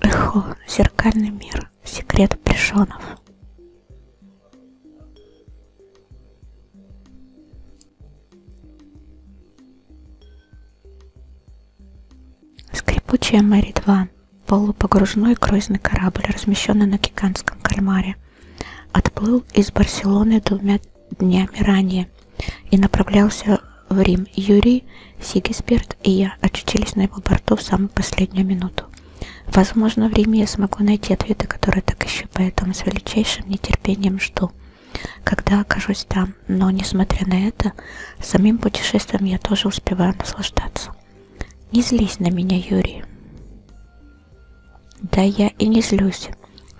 Эхо, зеркальный мир, секрет Плешонов. Скрипучая Мэри 2 Полупогружной круизный корабль, размещенный на Гигантском кальмаре, отплыл из Барселоны двумя днями ранее и направлялся в Рим. Юрий, Сигисберт и я очутились на его борту в самую последнюю минуту. Возможно, в Риме я смогу найти ответы, которые так ищу, поэтому с величайшим нетерпением жду, когда окажусь там. Но, несмотря на это, самим путешествием я тоже успеваю наслаждаться. Не злись на меня, Юрий. Да я и не злюсь.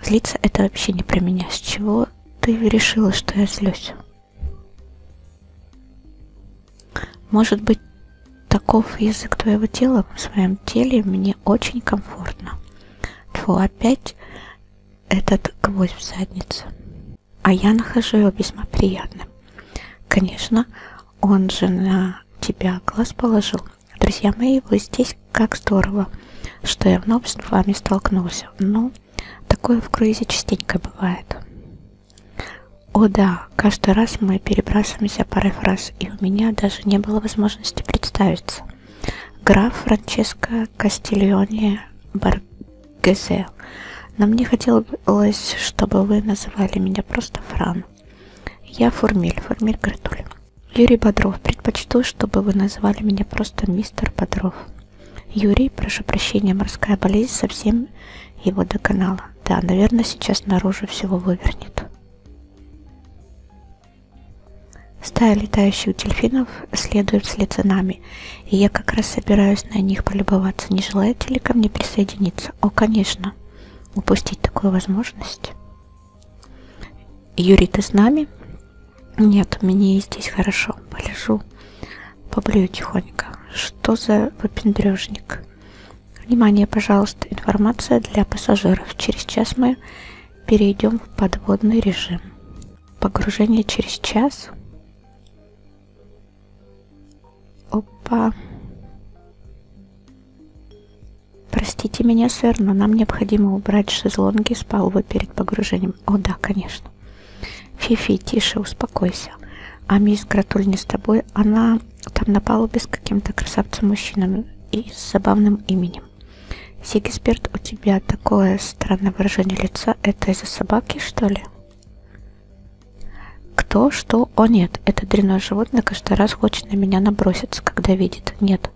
Злиться это вообще не про меня. С чего ты решила, что я злюсь? Может быть, таков язык твоего тела в своем теле мне очень комфортно. Тьфу, опять этот гвоздь в задницу. А я нахожу его весьма приятным. Конечно, он же на тебя глаз положил. Друзья мои, вы здесь как здорово, что я вновь с вами столкнулся. Ну, такое в круизе частенько бывает. О да, каждый раз мы перебрасываемся парой фраз, и у меня даже не было возможности представиться. Граф Франческо Кастильоне Баргезе. Но мне хотелось, чтобы вы называли меня просто Фран. Я Фурмель, Фурмель Гратуль. Юрий Бодров, предпочту, чтобы вы назвали меня просто мистер Бодров. Юрий, прошу прощения, морская болезнь совсем его доконала. Да, наверное, сейчас наружу всего вывернет. Стая летающих дельфинов следует вслед за нами, и я как раз собираюсь на них полюбоваться. Не желаете ли ко мне присоединиться? О, конечно упустить такую возможность. Юрий, ты с нами? Нет, мне здесь хорошо. Полежу, поблюю тихонько. Что за выпендрежник? Внимание, пожалуйста, информация для пассажиров. Через час мы перейдем в подводный режим. Погружение через час. Опа. Простите меня, сэр, но нам необходимо убрать шезлонги с палубы перед погружением. О, да, конечно. Фифи, тише, успокойся. А мисс Гратуль не с тобой. Она там на палубе с каким-то красавцем-мужчином и с забавным именем. Сигисберт, у тебя такое странное выражение лица. Это из-за собаки, что ли? Кто, что, решил, о нет, это дрянное животное каждый раз хочет на меня наброситься, когда видит. Нет.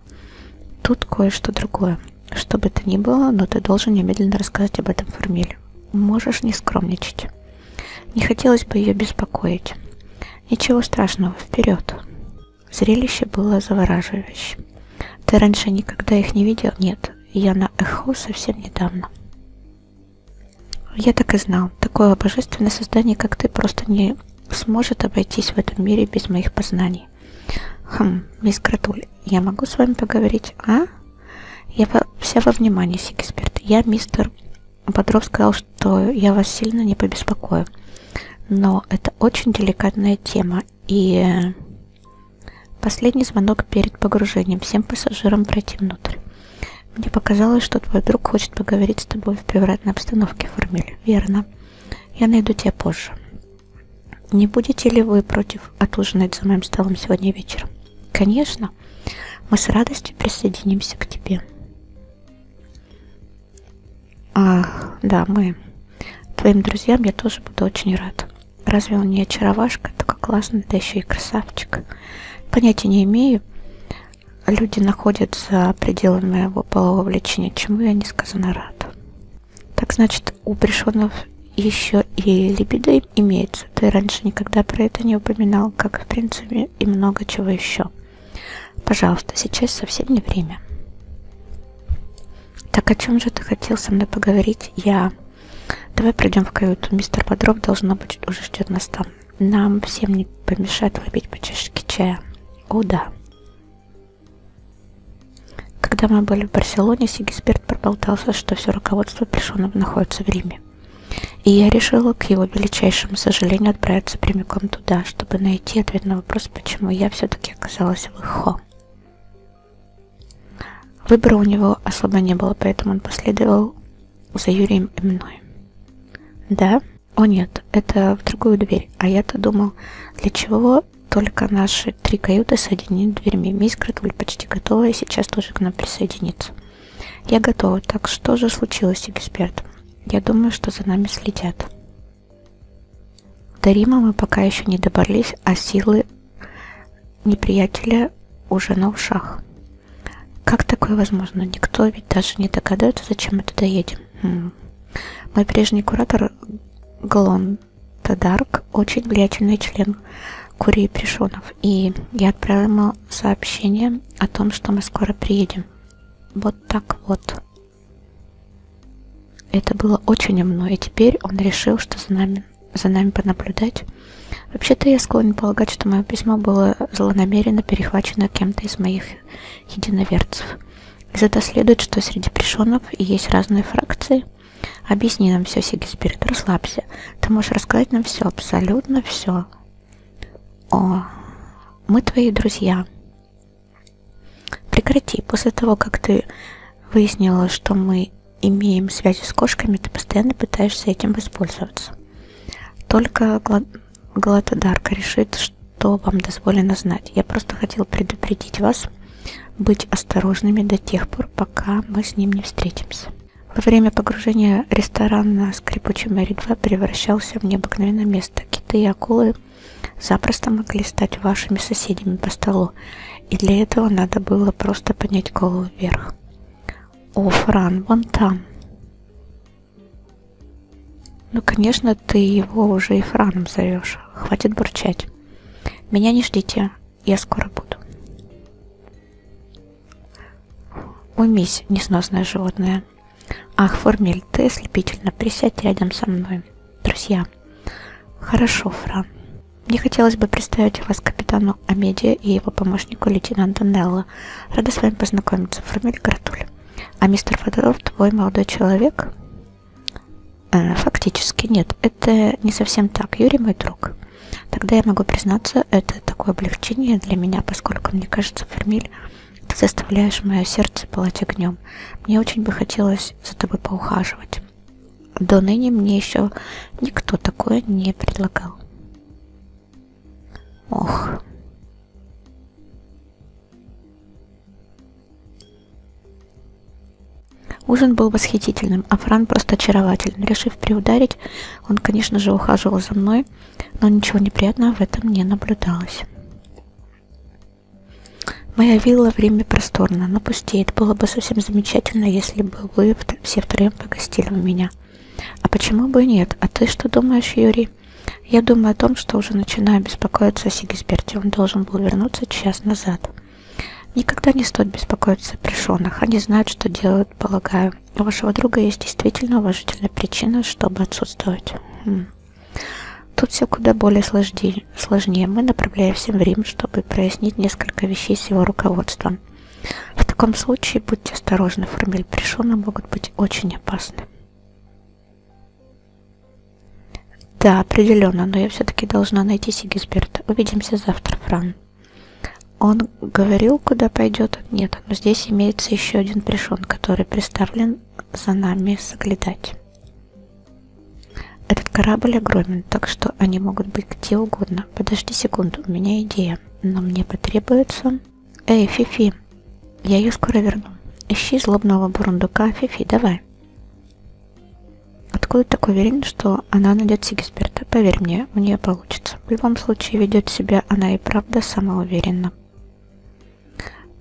Тут кое-что другое. Что бы это ни было, но ты должен немедленно рассказать об этом Фермиле. Можешь не скромничать. Не хотелось бы ее беспокоить. Ничего страшного, вперед. Зрелище было завораживающим. Ты раньше никогда их не видел? Нет, я на эхо совсем недавно. Я так и знал. Такое божественное создание, как ты, просто не сможет обойтись в этом мире без моих познаний. Хм, мисс Гратуль, я могу с вами поговорить, а? Я вся во внимание, Сигисберт. Я, мистер Бодров, сказал, что я вас сильно не побеспокою. Но это очень деликатная тема. И э, последний звонок перед погружением. Всем пассажирам пройти внутрь. Мне показалось, что твой друг хочет поговорить с тобой в привратной обстановке, Формиль. Верно. Я найду тебя позже. Не будете ли вы против отужинать за моим столом сегодня вечером? Конечно. Мы с радостью присоединимся к тебе. А, да, мы. Твоим друзьям я тоже буду очень рад. Разве он не очаровашка? Такой классный, да еще и красавчик. Понятия не имею, люди находят за пределами моего полового влечения, чему я несказанно рад. Так значит, у Пришонов еще и либидо имеется. Ты раньше никогда про это не упоминал, как в принципе и много чего еще. Пожалуйста, сейчас совсем не время. Так о чем же ты хотел со мной поговорить? Я... Давай пройдем в каюту. Мистер Бодров, должно быть, уже ждет нас там нам всем не помешает выпить по чашечке чая. О, да. Когда мы были в Барселоне, Сигисберт проболтался, что все руководство Плешонов находится в Риме. И я решила, к его величайшему сожалению, отправиться прямиком туда, чтобы найти ответ на вопрос, почему я все-таки оказалась в Ихо. Выбора у него особо не было, поэтому он последовал за Юрием и мной. Да, о нет, это в другую дверь. А я-то думал, для чего только наши три каюты соединены дверьми. Мисс Крэтвуль почти готова и сейчас тоже к нам присоединится. Я готова. Так что же случилось, эксперт? Я думаю, что за нами следят. До Рима мы пока еще не добрались, а силы неприятеля уже на ушах. Как такое возможно? Никто ведь даже не догадается, зачем мы туда едем. Мой прежний куратор Глон Тадарк очень влиятельный член Курии Пришонов, и я отправила ему сообщение о том, что мы скоро приедем. Вот так вот. Это было очень умно, и теперь он решил, что за нами, за нами понаблюдать. Вообще-то я склонен полагать, что мое письмо было злонамеренно перехвачено кем-то из моих единоверцев. Из этого следует, что среди пришонов и есть разные фракции. Объясни нам все, Сигисбирд, расслабься. Ты можешь рассказать нам все, абсолютно все. О, мы твои друзья. Прекрати, после того, как ты выяснила, что мы имеем связи с кошками, ты постоянно пытаешься этим воспользоваться. Только Галатодарка решит, что вам дозволено знать. Я просто хотел предупредить вас быть осторожными до тех пор, пока мы с ним не встретимся. Во время погружения ресторан на скрипучем Мэри 2 превращался в необыкновенное место. Киты и акулы запросто могли стать вашими соседями по столу, и для этого надо было просто поднять голову вверх. О, Фран, вон там. Ну, конечно, ты его уже и Франом зовешь. Хватит бурчать. Меня не ждите, я скоро буду. Уймись, несносное животное. Ах, Формель, ты ослепительно присядь рядом со мной. Друзья. Хорошо, Фран. Мне хотелось бы представить вас капитану Амедия и его помощнику лейтенанту Нелло. Рада с вами познакомиться. Формель Гратуль. А мистер Федоров твой молодой человек? Э, фактически нет, это не совсем так, Юрий мой друг. Тогда я могу признаться, это такое облегчение для меня, поскольку, мне кажется, Фермиль, ты заставляешь мое сердце пылать огнем. Мне очень бы хотелось за тобой поухаживать. До ныне мне еще никто такое не предлагал. Ох, Ужин был восхитительным, а Фран просто очарователен. Решив приударить, он, конечно же, ухаживал за мной, но ничего неприятного в этом не наблюдалось. Моя вилла время просторно, но пустеет. Было бы совсем замечательно, если бы вы все втроем погостили у меня. А почему бы и нет? А ты что думаешь, Юрий? Я думаю о том, что уже начинаю беспокоиться о Сигисберте. Он должен был вернуться час назад. Никогда не стоит беспокоиться о пришенных. Они знают, что делают, полагаю. У вашего друга есть действительно уважительная причина, чтобы отсутствовать. Хм. Тут все куда более сложнее. Мы направляемся в Рим, чтобы прояснить несколько вещей с его руководством. В таком случае будьте осторожны, формель пришона могут быть очень опасны. Да, определенно, но я все-таки должна найти Сигисберта. Увидимся завтра, Фран. Он говорил, куда пойдет? Нет, но здесь имеется еще один пришен, который приставлен за нами соглядать. Этот корабль огромен, так что они могут быть где угодно. Подожди секунду, у меня идея, но мне потребуется... «Эй, Фифи, я ее скоро верну. Ищи злобного бурундука. Фифи, давай». Откуда такой уверен, что она найдет Сигисберта? Поверь мне, у нее получится. В любом случае, ведет себя она и правда самоуверенно.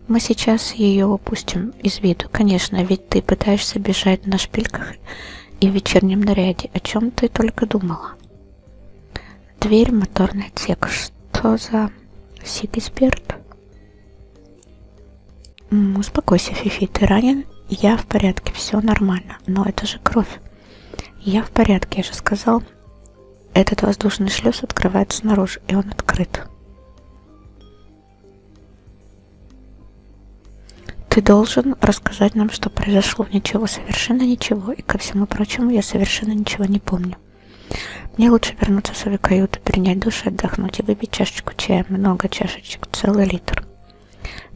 Мы сейчас ее упустим из виду. Конечно, ведь ты пытаешься бежать на шпильках и в вечернем наряде. О чем ты только думала? Дверь, моторный отсек. Что за Сигисберт? Успокойся, Фифи, ты ранен, я в порядке, все нормально. Но это же кровь. Я в порядке, я же сказал. Этот воздушный шлюз открывается снаружи, и он открыт. Ты должен рассказать нам, что произошло. Ничего, совершенно ничего. И ко всему прочему, я совершенно ничего не помню. Мне лучше вернуться в свою каюту, принять душ и отдохнуть, и выпить чашечку чая, много чашечек, целый литр.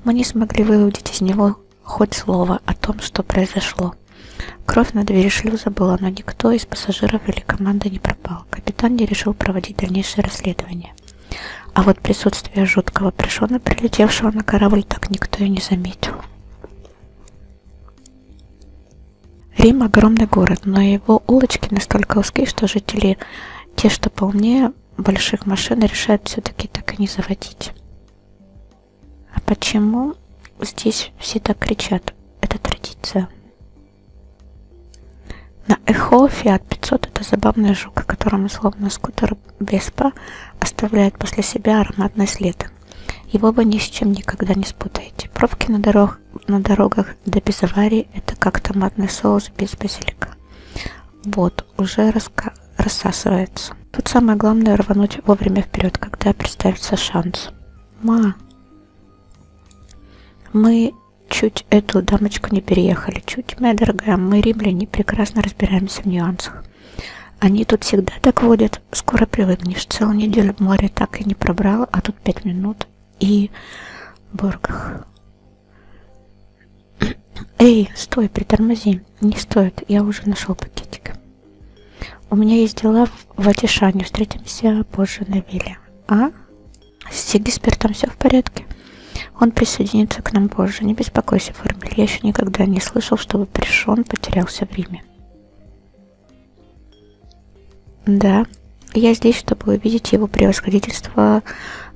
Мы не смогли выудить из него хоть слово о том, что произошло. Кровь на двери шлюза была, но никто из пассажиров или команды не пропал. Капитан не решил проводить дальнейшее расследование. А вот присутствие жуткого пришона, прилетевшего на корабль, так никто и не заметил. Рим огромный город, но его улочки настолько узкие, что жители, те, что полнее больших машин, решают все-таки так и не заводить. А почему здесь все так кричат? Это традиция. На Эхо Fiat 500 это забавный жук, которому словно скутер Веспа оставляет после себя ароматный след. Его вы ни с чем никогда не спутаете. Пробки на дорогах дорог. На дорогах до пизаварии это как томатный соус без базилика. Вот, уже раска... рассасывается. Тут самое главное рвануть вовремя вперед, когда представится шанс. Ма, мы чуть эту дамочку не переехали. Чуть, моя дорогая, мы римляне прекрасно разбираемся в нюансах. Они тут всегда так водят, скоро привыкнешь. Целую неделю море так и не пробрало, а тут пять минут и Боргах. Эй, стой, притормози. Не стоит, я уже нашел пакетик. У меня есть дела в Атишане, встретимся позже на вилле. А? С Сигиспертом все в порядке? Он присоединится к нам позже. Не беспокойся, Формель. Я еще никогда не слышал, чтобы Пришон потерялся в Риме. Да, я здесь, чтобы увидеть его превосходительство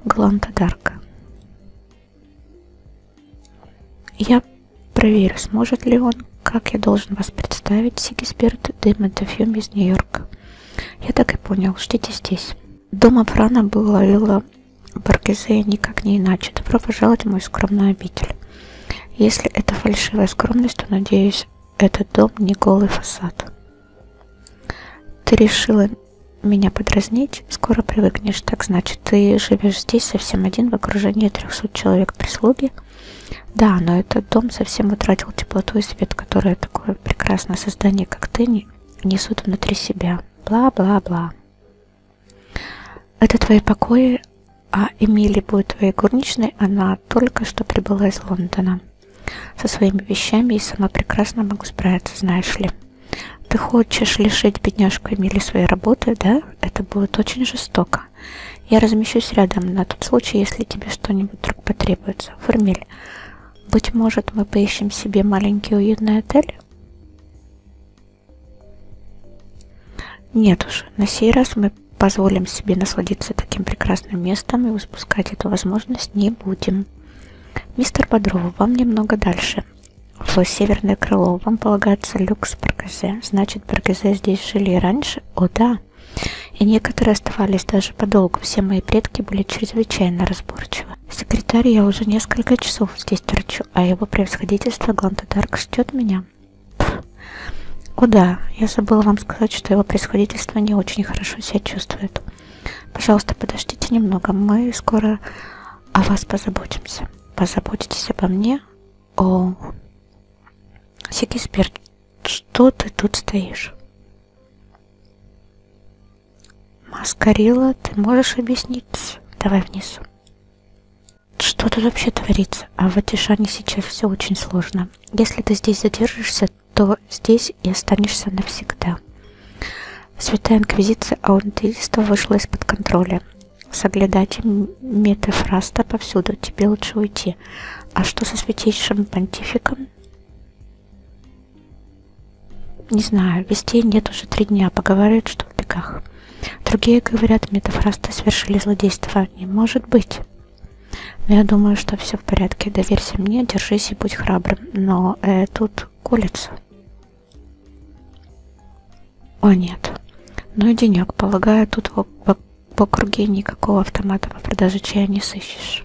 Гланта Дарка. Я проверю, сможет ли он, как я должен вас представить, Сигисберт де Медофюм из Нью-Йорка. Я так и понял, ждите здесь. Дома Франа была Вилла Баргизея никак не иначе. Добро пожаловать в мой скромный обитель. Если это фальшивая скромность, то, надеюсь, этот дом не голый фасад. Ты решила меня подразнить, скоро привыкнешь. Так значит, ты живешь здесь совсем один в окружении 300 человек прислуги. Да, но этот дом совсем утратил теплоту и свет, которые такое прекрасное создание, как ты, несут внутри себя. Бла-бла-бла. Это твои покои, а Эмили будет твоей горничной, она только что прибыла из Лондона. Со своими вещами я сама прекрасно могу справиться, знаешь ли. Ты хочешь лишить бедняжку Эмили своей работы, да? Это будет очень жестоко. Я размещусь рядом на тот случай, если тебе что-нибудь вдруг потребуется. Фурмиль, быть может, мы поищем себе маленький уютный отель? Нет уж, на сей раз мы позволим себе насладиться таким прекрасным местом и выпускать эту возможность не будем. Мистер Бодров, вам немного дальше. В северное крыло вам полагается люкс Баргазе. Значит, Баргазе здесь жили и раньше? О, да. И некоторые оставались даже подолгу. Все мои предки были чрезвычайно разборчивы. Секретарь, я уже несколько часов здесь торчу, а его превосходительство Гланта Дарк ждет меня. Пфф, о да, я забыла вам сказать, что его происходительство не очень хорошо себя чувствует. Пожалуйста, подождите немного, мы скоро о вас позаботимся. Позаботитесь обо мне? О, Сикисберт, что ты тут стоишь? Маскарила, ты можешь объяснить? Давай вниз. Что тут вообще творится? А в Атишане сейчас все очень сложно. Если ты здесь задержишься, мира, то здесь и останешься навсегда. Святая инквизиция аунтеиста вышла из-под контроля. Соглядайте метафраста повсюду, тебе лучше уйти. А что со святейшим понтификом? Не знаю, вестей нет уже три дня, поговаривают, что в бегах. Другие говорят, метафрасты совершили злодейство. Не может быть. Ну, я думаю, что все в порядке. Доверься мне, держись и будь храбрым. Но э, тут кулица. О нет. Ну и денек. Полагаю, тут в, в, в округе никакого автомата по продаже чая не сыщешь.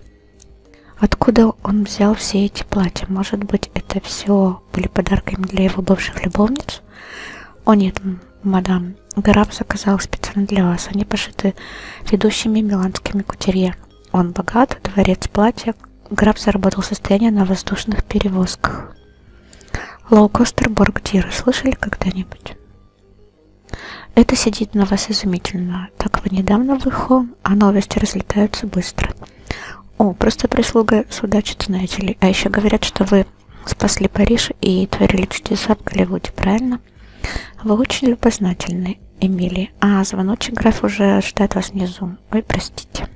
Откуда он взял все эти платья? Может быть, это все были подарками для его бывших любовниц? О нет, мадам, граф заказал специально для вас. Они пошиты Франции ведущими миланскими кутерье. Он богат, дворец платья, граф заработал состояние на воздушных перевозках. Лоукостер Боргдира слышали когда-нибудь? Это сидит на вас изумительно. Так вы недавно в Ихо, а новости разлетаются быстро. О, просто прислуга судачит, знаете ли. А еще говорят, что вы спасли Париж и творили чудеса в Голливуде, правильно? Ладно. Вы очень любознательны, Эмили. А, звоночек граф уже ждает вас внизу. Ой, простите.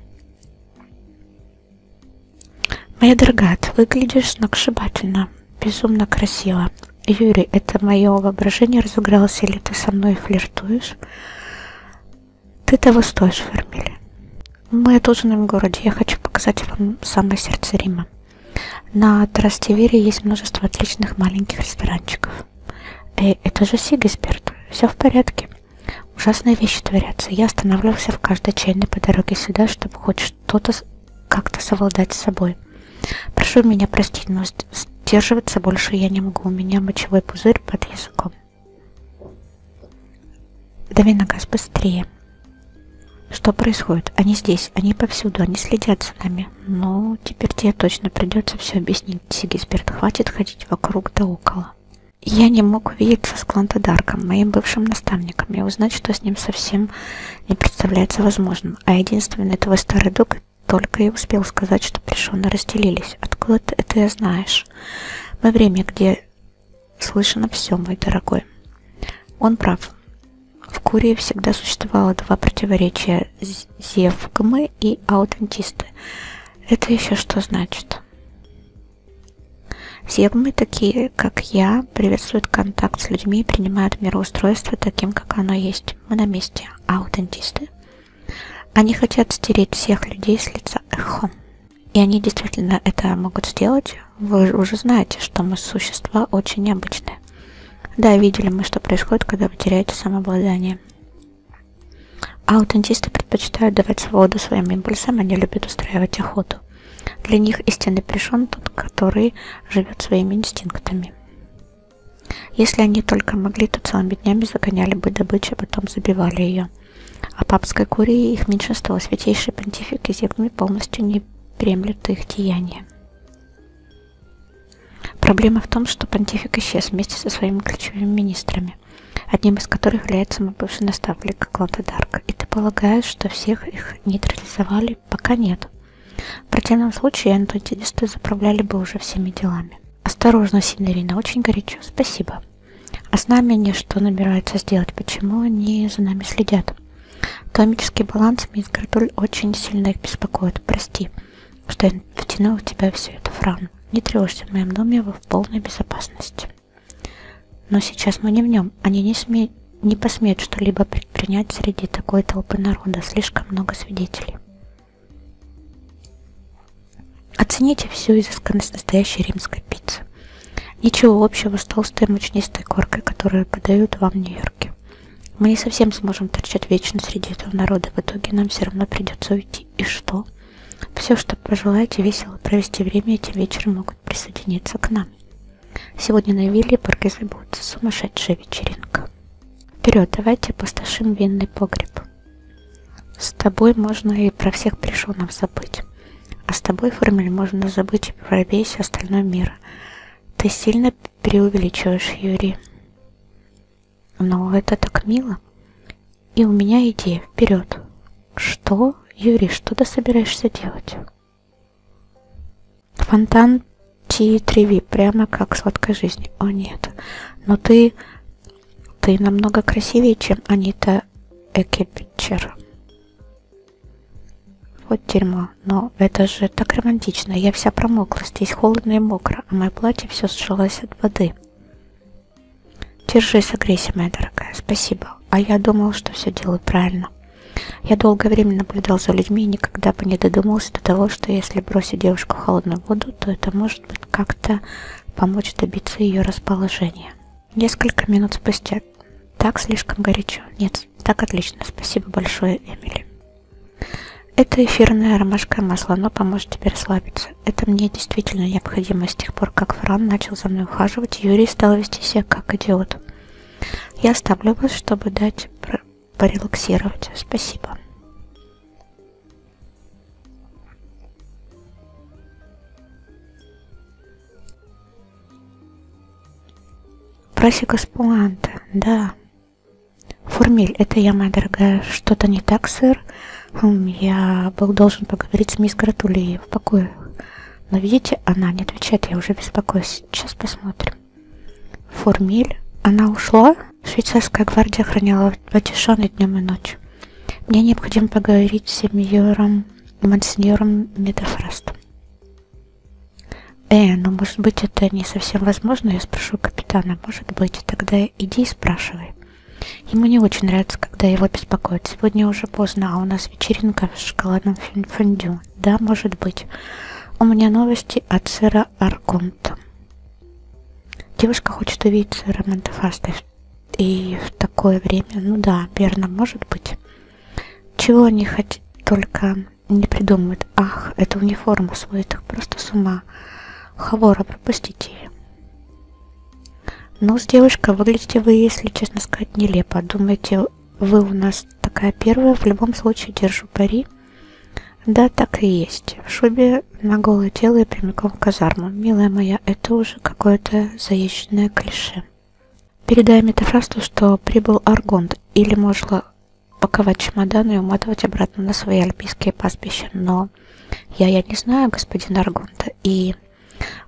Моя дорогая, ты выглядишь сногсшибательно. Безумно красиво. Юрий, это мое воображение разыгралось, или ты со мной флиртуешь? Ты того стоишь, Фермили. Мы отужинаем в городе. Я хочу показать вам самое сердце Рима. На Трастевере есть множество отличных маленьких ресторанчиков. Эй, это же Сигисберт. Все в порядке. Ужасные вещи творятся. Я останавливался в каждой чайной по дороге сюда, чтобы хоть что-то как-то совладать с собой. Прошу меня простить, но сдерживаться больше я не могу. У меня мочевой пузырь под языком. Дави на газ быстрее. Что происходит? Они здесь, они повсюду, они следят за нами. Ну, теперь тебе точно придется все объяснить, Сигисберт. Хватит ходить вокруг да около. Я не мог увидеться с Клантодарком, моим бывшим наставником, и узнать, что с ним совсем не представляется возможным. А единственный твой старый друг только и успел сказать, что плешоны разделились. Откуда ты это знаешь? Мы время, где слышно все, мой дорогой. Он прав. В Курии всегда существовало два противоречия – зевгмы и аутентисты. Это еще что значит? Зевгмы, такие как я, приветствуют контакт с людьми и принимают мироустройство таким, как оно есть. Мы на месте. Аутентисты. Они хотят стереть всех людей с лица эхо. И они действительно это могут сделать. Вы уже знаете, что мы существа очень необычные. Да, видели мы, что происходит, когда вы теряете самообладание. А аутентисты предпочитают давать свободу своим импульсам, они любят устраивать охоту. Для них истинный пришен тот, который живет своими инстинктами. Если они только могли, то целыми днями загоняли бы добычу, а потом забивали ее. А папской курии их меньшинство, святейший понтифик и земли полностью не премлют их деяния. Проблема в том, что понтифик исчез вместе со своими ключевыми министрами, одним из которых является мой бывший наставник Клода Дарк. И ты полагаешь, что всех их нейтрализовали? Пока нет. В противном случае антидисты заправляли бы уже всеми делами. Осторожно, Синерина, очень горячо, спасибо. А с нами они что набираются сделать? Почему они за нами следят? Комический баланс мисс Градуль очень сильно их беспокоит, прости что я втянул в тебя всю эту франу. Не тревожься, в моем доме вы в полной безопасности. Но сейчас мы не в нем. Они не, сме... не посмеют что-либо предпринять среди такой толпы народа. Слишком много свидетелей. Оцените всю изысканность настоящей римской пиццы. Ничего общего с толстой мучнистой коркой, которую подают вам в Нью-Йорке. Мы не совсем сможем торчать вечно среди этого народа. В итоге нам все равно придется уйти. И что? Все, что пожелаете весело провести время, этим вечером могут присоединиться к нам. Сегодня на вилле и Паркезе будет сумасшедшая вечеринка. Вперед, давайте опустошим винный погреб. С тобой можно и про всех пришелов забыть. А с тобой, Формель, можно забыть и про весь остальной мир. Ты сильно преувеличиваешь, Юрий. Но это так мило. И у меня идея вперед. Что, Юрий, что ты собираешься делать? Фонтан Ти Треви, прямо как сладкой жизни. О нет, но ты, ты намного красивее, чем Анита Экельбичер. Вот дерьмо, но это же так романтично, я вся промокла мокро, здесь холодно и мокро, а мое платье все сжалось от воды. Держи, согрейся, моя дорогая, спасибо. А я думал, что все делаю правильно. Я долгое время наблюдал за людьми и никогда бы не додумался до того, что если бросить девушку в холодную воду, то это может быть как-то помочь добиться ее расположения. Несколько минут спустя. Так слишком горячо. Нет, так отлично. Спасибо большое, Эмили. Это эфирное ромашковое масло, оно поможет тебе расслабиться. Это мне действительно необходимо с тех пор, как Фран начал за мной ухаживать, Юрий стал вести себя как идиот. Я оставлю вас, чтобы дать порелаксировать. Спасибо. Просика с пуанта, да. Фурмиль, это я, моя дорогая. Что-то не так, сэр. Хм, я был должен поговорить с мисс Гратулией в покое. Но видите, она не отвечает, я уже беспокоюсь. Сейчас посмотрим. Фурмиль, она ушла? Швейцарская гвардия хранила Ватишан и днем и ночью. Мне необходимо поговорить с сеньором, мансеньором Медофрастом. Э, ну может быть это не совсем возможно, я спрошу капитана она может быть, тогда иди и спрашивай. Ему не очень нравится, когда его беспокоят. Сегодня уже поздно, а у нас вечеринка в шоколадном фондю. Да, может быть. У меня новости от сыра Арконта. Девушка хочет увидеть сыра Монтефаста. И в такое время, ну да, верно, может быть. Чего они хоть только не придумывают. Ах, это униформа сводит их просто с ума. Хавора, пропустите ее. Ну, с девушкой выглядите вы, если честно сказать, нелепо. Думаете, вы у нас такая первая? В любом случае, держу пари. Да, так и есть. В шубе на голое тело и прямиком в казарму. Милая моя, это уже какое-то заезженное клише. Передай метафрасту, что прибыл Аргонт, или, может, паковать чемодан и уматывать обратно на свои альпийские пастбища. Но я, я не знаю господина Аргонта, и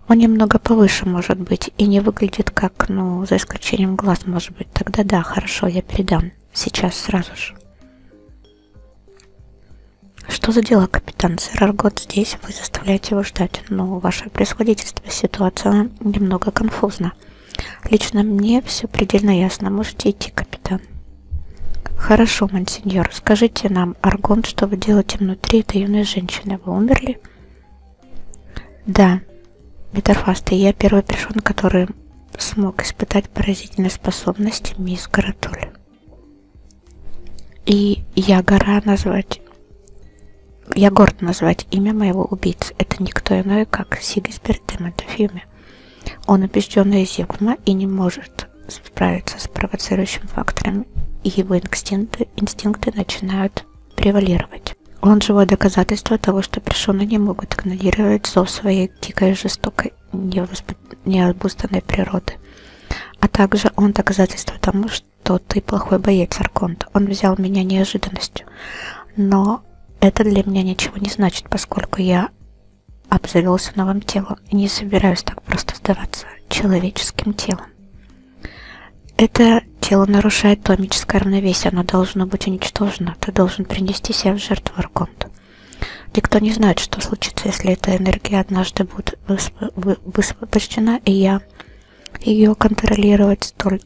он немного повыше, может быть, и не выглядит как, ну, за исключением глаз, может быть. Тогда да, хорошо, я передам. Сейчас, сразу же. Что за дела, капитан? Сэр Аргот здесь, вы заставляете его ждать. Но ну, ваше превосходительство, ситуация немного конфузна. Лично мне все предельно ясно. Можете идти, капитан хорошо мonsеньор скажите нам аргон что вы делаете внутри этой юной женщины вы умерли да метафаст и я первый пришёл который смог испытать поразительные способности мисс Каратуль. И я гора назвать, я горд назвать имя моего убийцы. Это никто иной, как Сигисберт де силами. Он убежденный Зигма и не может справиться с провоцирующим фактором, и его инстинкты, инстинкты начинают превалировать. Он живое доказательство того, что персоны не могут игнорировать зов своей дикой жестокой необузданной природы. А также он доказательство тому, что ты плохой боец, Арконт. Он взял меня неожиданностью. Но это для меня ничего не значит, поскольку я обзавелся новым телом и не собираюсь так просто сдаваться человеческим телом. Это тело нарушает томическое равновесие, оно должно быть уничтожено, ты должен принести себя в жертву Арконту. Никто не знает, что случится, если эта энергия однажды будет высвобождена, и я ее контролировать столь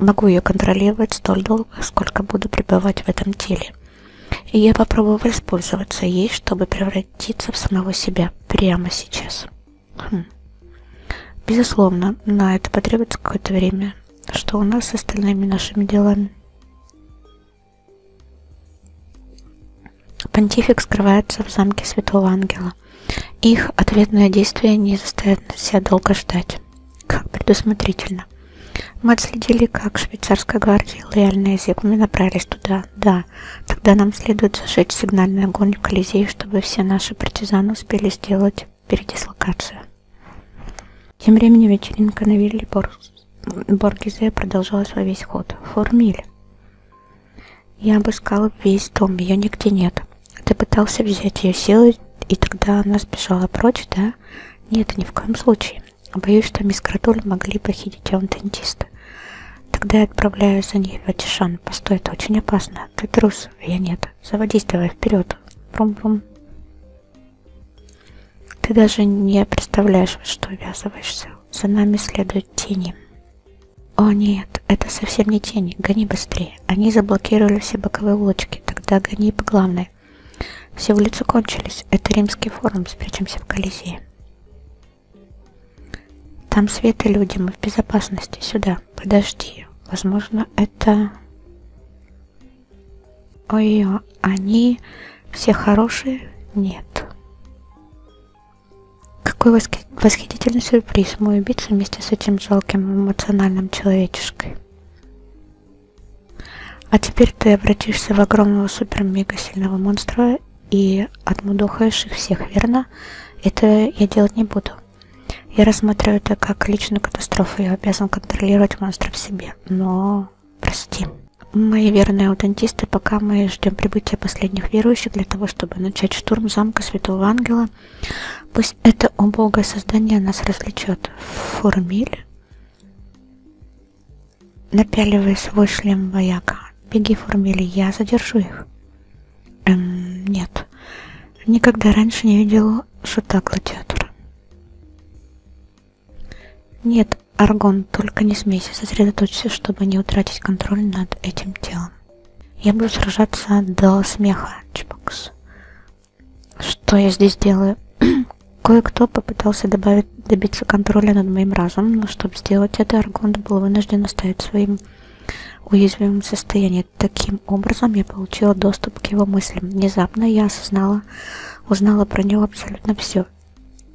могу ее контролировать столь долго, сколько буду пребывать в этом теле. И я попробую воспользоваться ей, чтобы превратиться в самого себя прямо сейчас. Хм. Безусловно, на это потребуется какое-то время. Что у нас с остальными нашими делами? Понтифик скрывается в замке Святого Ангела. Их ответное действие не заставит себя долго ждать. Как предусмотрительно. Мы отследили, как швейцарская гвардия и лояльные зигмы направились туда. Да, тогда нам следует зажечь сигнальный огонь в Колизее, чтобы все наши партизаны успели сделать передислокацию. Тем временем вечеринка на вилле Бор... Боргизе продолжалась во весь ход. Формиль. Я обыскала весь дом, ее нигде нет. Ты пытался взять ее силой, и тогда она сбежала прочь, да? Нет, ни в коем случае. Боюсь, что мисс Крадуль могли похитить аунтентиста. Тогда я отправляю за ней в Ватишан. Постой, это очень опасно. Ты трус, а я нет. Заводись давай вперед. Брум-брум. Ты даже не представляешь, во что ввязываешься. За нами следуют тени. О нет, это совсем не тени. Гони быстрее. Они заблокировали все боковые улочки. Тогда гони по главной. Все улицы кончились. Это римский форум. Спрячемся в Колизее. Там свет и люди. Мы в безопасности. Сюда. Подожди. Возможно, это... Ой, они все хорошие? Нет. Какой восхи... восхитительный сюрприз. Мой убийца вместе с этим жалким эмоциональным человечешкой. А теперь ты обратишься в огромного супер-мега-сильного монстра и отмудохаешь их всех, верно? Это я делать не буду. Я рассматриваю это как личную катастрофу, я обязан контролировать монстра в себе. Но, прости. Мои верные аутентисты, пока мы ждем прибытия последних верующих для того, чтобы начать штурм замка Святого Ангела, пусть это убогое создание нас развлечет. Формиль Напяливай свой шлем вояка. Беги, Формели, я задержу их. Эм, нет. Никогда раньше не видел шута гладиатора. Нет, Аргон, только не смейся, сосредоточься, чтобы не утратить контроль над этим телом. Я буду сражаться до смеха, Чпокс. Что я здесь делаю? Кое-кто попытался добавить, добиться контроля над моим разумом, но чтобы сделать это, Аргонд был вынужден оставить своим уязвимом состоянии. Таким образом, я получила доступ к его мыслям. Внезапно я осознала, узнала про него абсолютно все.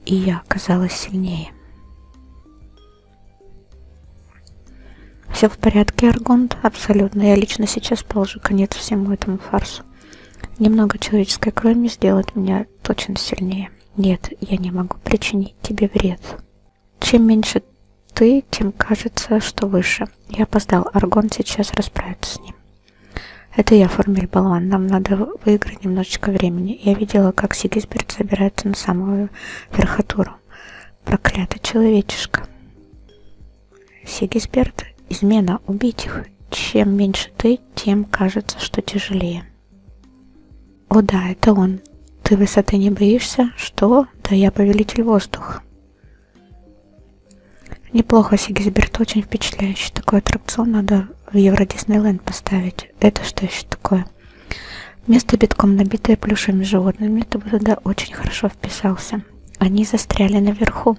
И я оказалась сильнее. Все в порядке, Аргонт? Абсолютно. Я лично сейчас положу конец всему этому фарсу. Немного человеческой крови не сделает меня я точно сильнее. Нет, я не могу причинить тебе вред. Чем меньше ты, тем кажется, что выше. Я опоздал. Аргон сейчас расправится с ним. Это я, Формель Балван. Нам надо выиграть немножечко времени. Я видела, как Сигисберт забирается на самую верхотуру. Проклятый человечишка. Сигисберт, измена, убить их. Чем меньше ты, тем кажется, что тяжелее. О да, это он. Ты высоты не боишься? Что? Да я повелитель воздуха. Неплохо, Сигизберт, очень впечатляющий. Такой аттракцион надо в Евро Диснейленд поставить. Это что еще такое? Место битком набитое плюшевыми животными. Ты бы туда очень хорошо вписался. Они застряли наверху.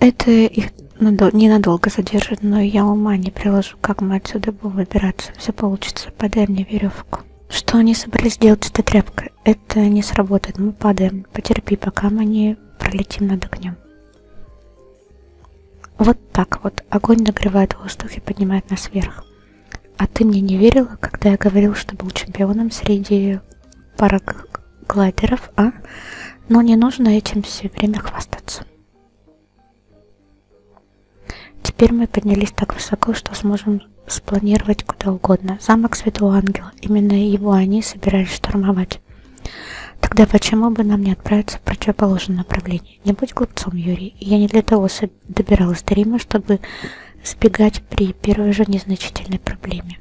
Это их ненадолго задержит, но я ума не приложу, как мы отсюда будем выбираться. Все получится. Подай мне веревку. Что они собрались делать с этой тряпкой? Это не сработает. Мы падаем. Потерпи, пока мы не пролетим над огнем. Вот так вот. Огонь нагревает воздух и поднимает нас вверх. А ты мне не верила, когда я говорил, что был чемпионом среди параг глайдеров, а? Но не нужно этим все время хвастаться. Теперь мы поднялись так высоко, что сможем спланировать куда угодно. Замок Святого Ангела. Именно его они собирались штурмовать. Тогда почему бы нам не отправиться в противоположном направлении? Не будь глупцом, Юрий. Я не для того добиралась до Рима, чтобы сбегать при первой же незначительной проблеме.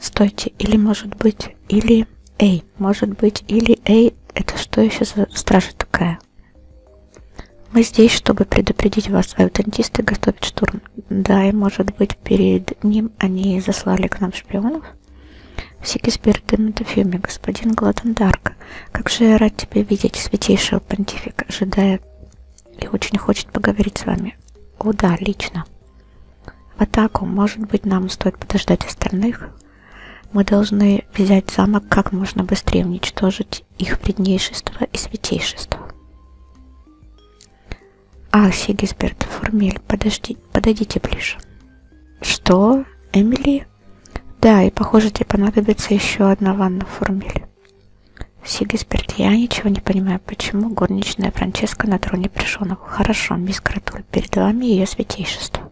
Стойте, или может быть, или... Эй, может быть, или... Эй, это что еще за стража такая? Мы здесь, чтобы предупредить вас, аутентисты готовят штурм. Да, и может быть, перед ним они заслали к нам шпионов? Сигисберден Дофюми, господин Гладендарк, как же я рад тебя видеть, святейшего понтифика, ожидая и очень хочет поговорить с вами. О да, лично. В атаку, может быть, нам стоит подождать остальных. Мы должны взять замок как можно быстрее, уничтожить их преднейшество и святейшество. А, Сигисберт, Фурмель, подожди, подойдите ближе. Что? Эмили? Да, и похоже, тебе понадобится еще одна ванна Фурмель. Сигисберт, я ничего не понимаю, почему горничная Франческа на троне пришел Хорошо, мисс Кратуль, перед вами ее святейшество.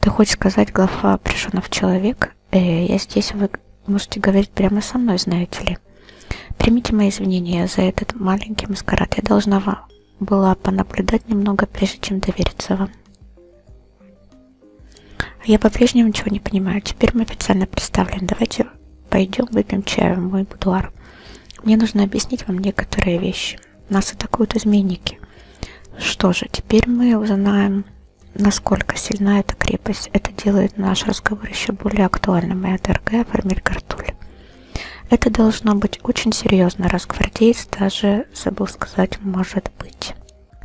Ты хочешь сказать, глава пришенов человек? Э, я здесь, вы можете говорить прямо со мной, знаете ли. Примите мои извинения за этот маленький маскарад. Я должна вам была понаблюдать немного, прежде чем довериться вам. Я по-прежнему ничего не понимаю. Теперь мы официально представлены. Давайте Пойдем выпьем чаю в мой будуар. Мне нужно объяснить вам некоторые вещи. Нас атакуют изменники. Что же, теперь мы узнаем, насколько сильна эта крепость. Это делает наш разговор еще более актуальным. И дорогая Фармель Картуль. Это должно быть очень серьезно, раз гвардеец даже, забыл сказать, может быть.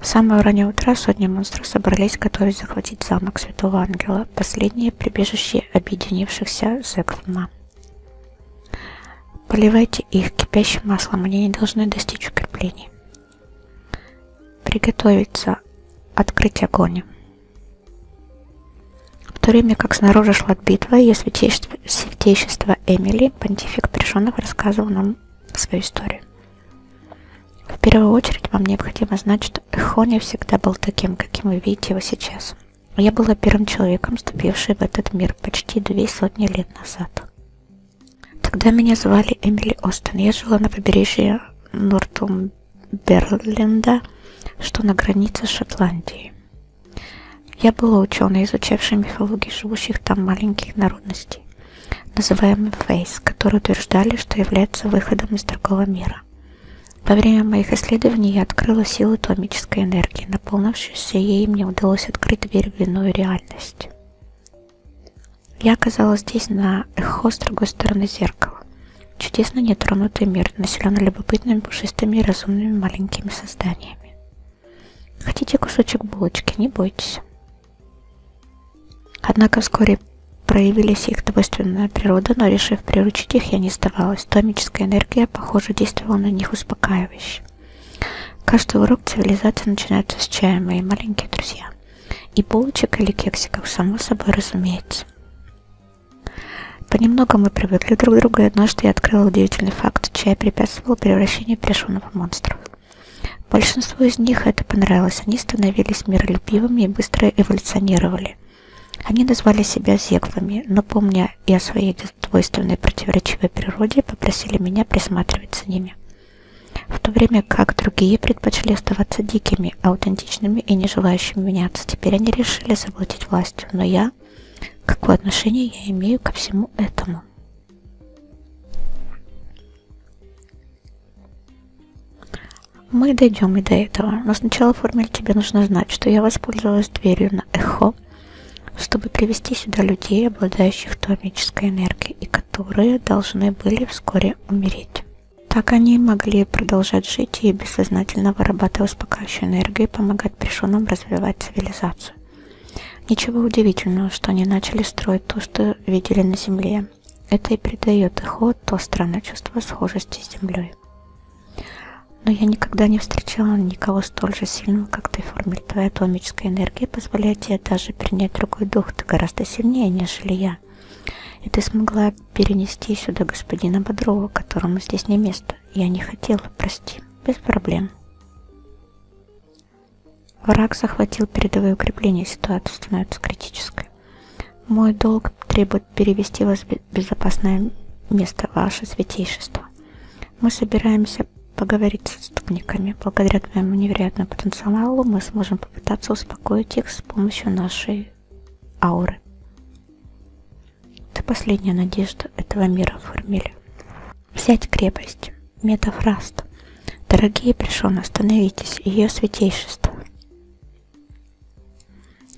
В самое раннее утро сотни монстров собрались готовить захватить замок Святого Ангела, последнее прибежище объединившихся Зеклма. Поливайте их кипящим маслом, они не должны достичь укреплений. Приготовиться, открыть огонь. В то время как снаружи шла битва, ее святейшество, святейшество Эмили, понтифик Пришонов, рассказывал нам свою историю. В первую очередь вам необходимо знать, что Эхони всегда был таким, каким вы видите его сейчас – я была первым человеком, вступившим в этот мир почти две сотни лет назад. Тогда меня звали Эмили Остен. Я жила на побережье Нортумберленда, что на границе Шотландии. Я была ученой, изучавшей мифологию живущих там маленьких народностей, называемых фейс, которые утверждали, что являются выходом из другого мира. Во время моих исследований я открыла силу томической энергии, наполнившуюся ей мне удалось открыть дверь в иную реальность. Я оказалась здесь на эхо с другой стороны зеркала. Чудесно нетронутый мир, населенный любопытными, пушистыми и разумными маленькими созданиями. Хотите кусочек булочки, не бойтесь. Однако вскоре проявились их двойственная природа, но решив приручить их, я не сдавалась. Томическая энергия Портье, похоже, действовал на них успокаивающе. Каждый урок цивилизации начинается с чая, мои маленькие друзья. И булочек или кексиков, само собой разумеется. Понемногу мы привыкли друг к другу, и однажды я открыла удивительный факт. Чай препятствовал превращению пришённого в монстров. Большинству из них это понравилось. Они становились миролюбивыми и быстро эволюционировали. Они назвали себя зеглами, но, помня и о своей двойственной противоречивой природе, попросили меня присматривать за ними. В то время как другие предпочли оставаться дикими, аутентичными и не желающими меняться, теперь они решили заплатить властью, но я, какое отношение я имею ко всему этому? Мы дойдем и до этого, но сначала формуле тебе нужно знать, что я воспользовалась дверью на эхо, чтобы привести сюда людей, обладающих томической энергией, и которые должны были вскоре умереть. Так они могли продолжать жить и бессознательно вырабатывать успокаивающую энергию и помогать пришельным развивать цивилизацию. Ничего удивительного, что они начали строить то, что видели на Земле. Это и придает их то странное чувство схожести с Землей. Феррари. Но я никогда не встречала никого столь же сильного, как ты, Формель. Твоя атомическая энергия позволяет тебе даже принять другой дух. Ты гораздо сильнее, нежели я. И ты смогла перенести сюда господина Бодрова, которому здесь не место. Я не хотела, прости. Без проблем. Враг захватил передовые укрепления, ситуация становится критической. Мой долг требует чтобы перевести вас в безопасное место, ваше святейшество. Мы собираемся поговорить с отступниками. Благодаря твоему невероятному потенциалу мы сможем попытаться успокоить их с помощью нашей ауры. Ты последняя надежда этого мира, Фурмиль. Взять крепость. Метафраст. Дорогие пришел, остановитесь, ее святейшество.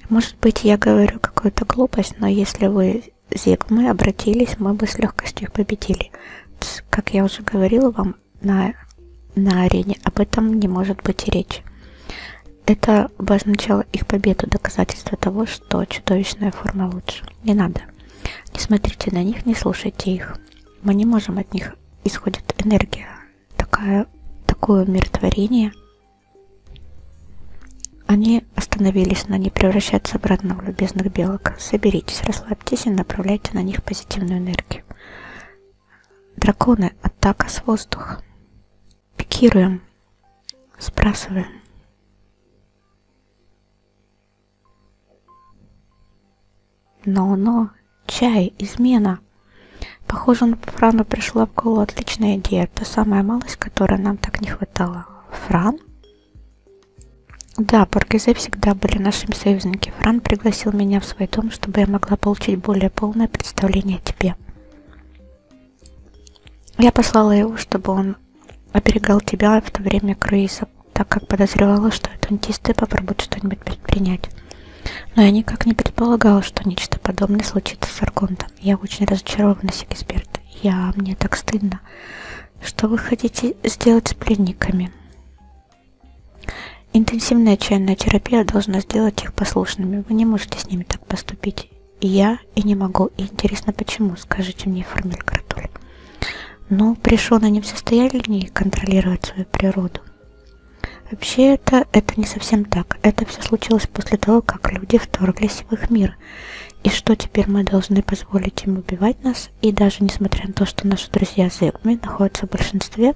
Может быть, я говорю какую-то глупость, но если вы зигмы обратились, мы бы с легкостью их победили. Пс, как я уже говорила вам на, на арене, об этом не может быть и речи. Это обозначало их победу, доказательство того, что чудовищная форма лучше. Не надо. Не смотрите на них, не слушайте их. Мы не можем от них исходит энергия. Такая, такое умиротворение они остановились, но не превращаются обратно в любезных белок. Соберитесь, расслабьтесь и направляйте на них позитивную энергию. Драконы, атака с воздуха. Пикируем, сбрасываем. Но-но, чай, измена. Похоже, на Франу пришла в голову отличная идея, та самая малость, которой нам так не хватало сказала Фран. Да, Поргизе всегда были нашими союзниками. Фран пригласил меня в свой дом, чтобы я могла получить более полное представление о тебе. Я послала его, чтобы он оберегал тебя в то время круиза, так как подозревала, что атлантисты попробуют что-нибудь предпринять. Но я никак не предполагала, что нечто подобное случится с Аргонтом. Я очень разочарована, Сигизберт. Я, мне так стыдно. Что вы хотите сделать с пленниками? Интенсивная отчаянная терапия должна сделать их послушными. Вы не можете с ними так поступить. И я, и не могу. И интересно, почему, скажите мне, Формель Кратуль. Ну, пришел они в состоянии контролировать свою природу. Вообще это, это не совсем так. Это все случилось после того, как люди вторглись в их мир оружие. И что теперь мы должны позволить им убивать нас? И даже несмотря на то, что наши друзья Зигми находятся в большинстве,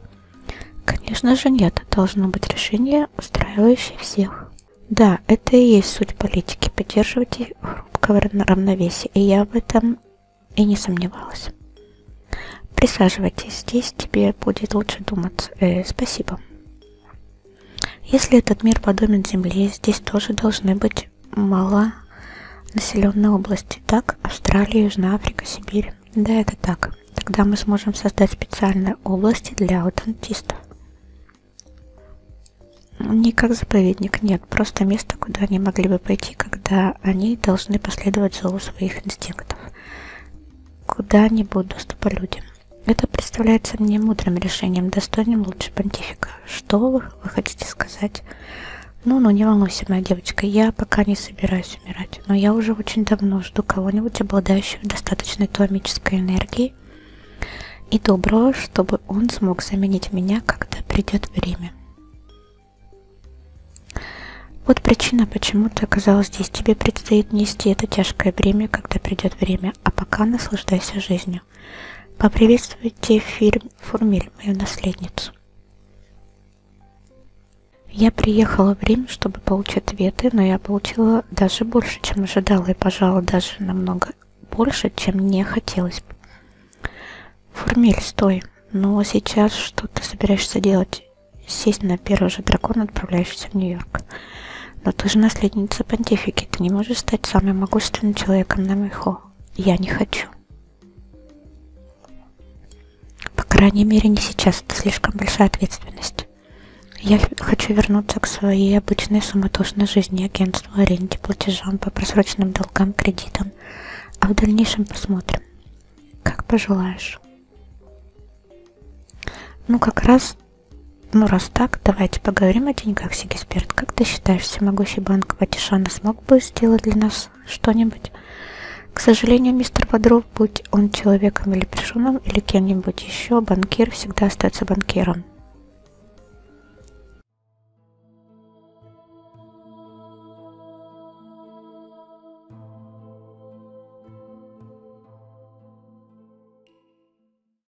конечно же нет, должно быть решение, устраивающее всех. Да, это и есть суть политики, поддерживать их хрупкое равновесие, и я в этом и не сомневалась. Присаживайтесь, здесь тебе будет лучше думать. Э, спасибо. Если этот мир подобен Земле, здесь тоже должны быть мало населенные области. Так, Австралия, Южная Африка, Сибирь. Да, это так. Тогда мы сможем создать специальные области для аутентистов. Не как заповедник, нет, просто место, куда они могли бы пойти, когда они должны последовать зову своих инстинктов. Куда не будут доступа людям. Это представляется мне мудрым решением, достойным лучше понтифика. Что вы, вы хотите сказать? Ну-ну, не волнуйся, моя девочка, я пока не собираюсь умирать, но я уже очень давно жду кого-нибудь, обладающего достаточной томической энергией и доброго, чтобы он смог заменить меня, когда придет время. Вот причина, почему ты оказалась здесь. Тебе предстоит нести это тяжкое бремя, когда придет время, а пока наслаждайся жизнью сегодня. Поприветствуйте фирм, Фурмиль, мою наследницу. Я приехала в Рим, чтобы получить ответы, но я получила даже больше, чем ожидала, и, пожалуй, даже намного больше, чем мне хотелось бы. Фурмиль, стой. Но ну, а сейчас что ты собираешься делать? Сесть на первый же дракон, отправляешься в Нью-Йорк. Но ты же наследница понтифики, ты не можешь стать самым могущественным человеком на Мехо. Я не хочу. По крайней мере, не сейчас, это слишком большая ответственность. Я хочу вернуться к своей обычной суматошной жизни, агентству, аренде, платежам по просроченным долгам, кредитам. А в дальнейшем посмотрим. Как пожелаешь. Ну, как раз ну, раз так, давайте поговорим о деньгах, Сигисберт. Как ты считаешь, всемогущий банк Ватишана смог бы сделать для нас что-нибудь? К сожалению, мистер Бодров, будь он человеком или пришеным, или кем-нибудь еще, банкир всегда остается банкиром.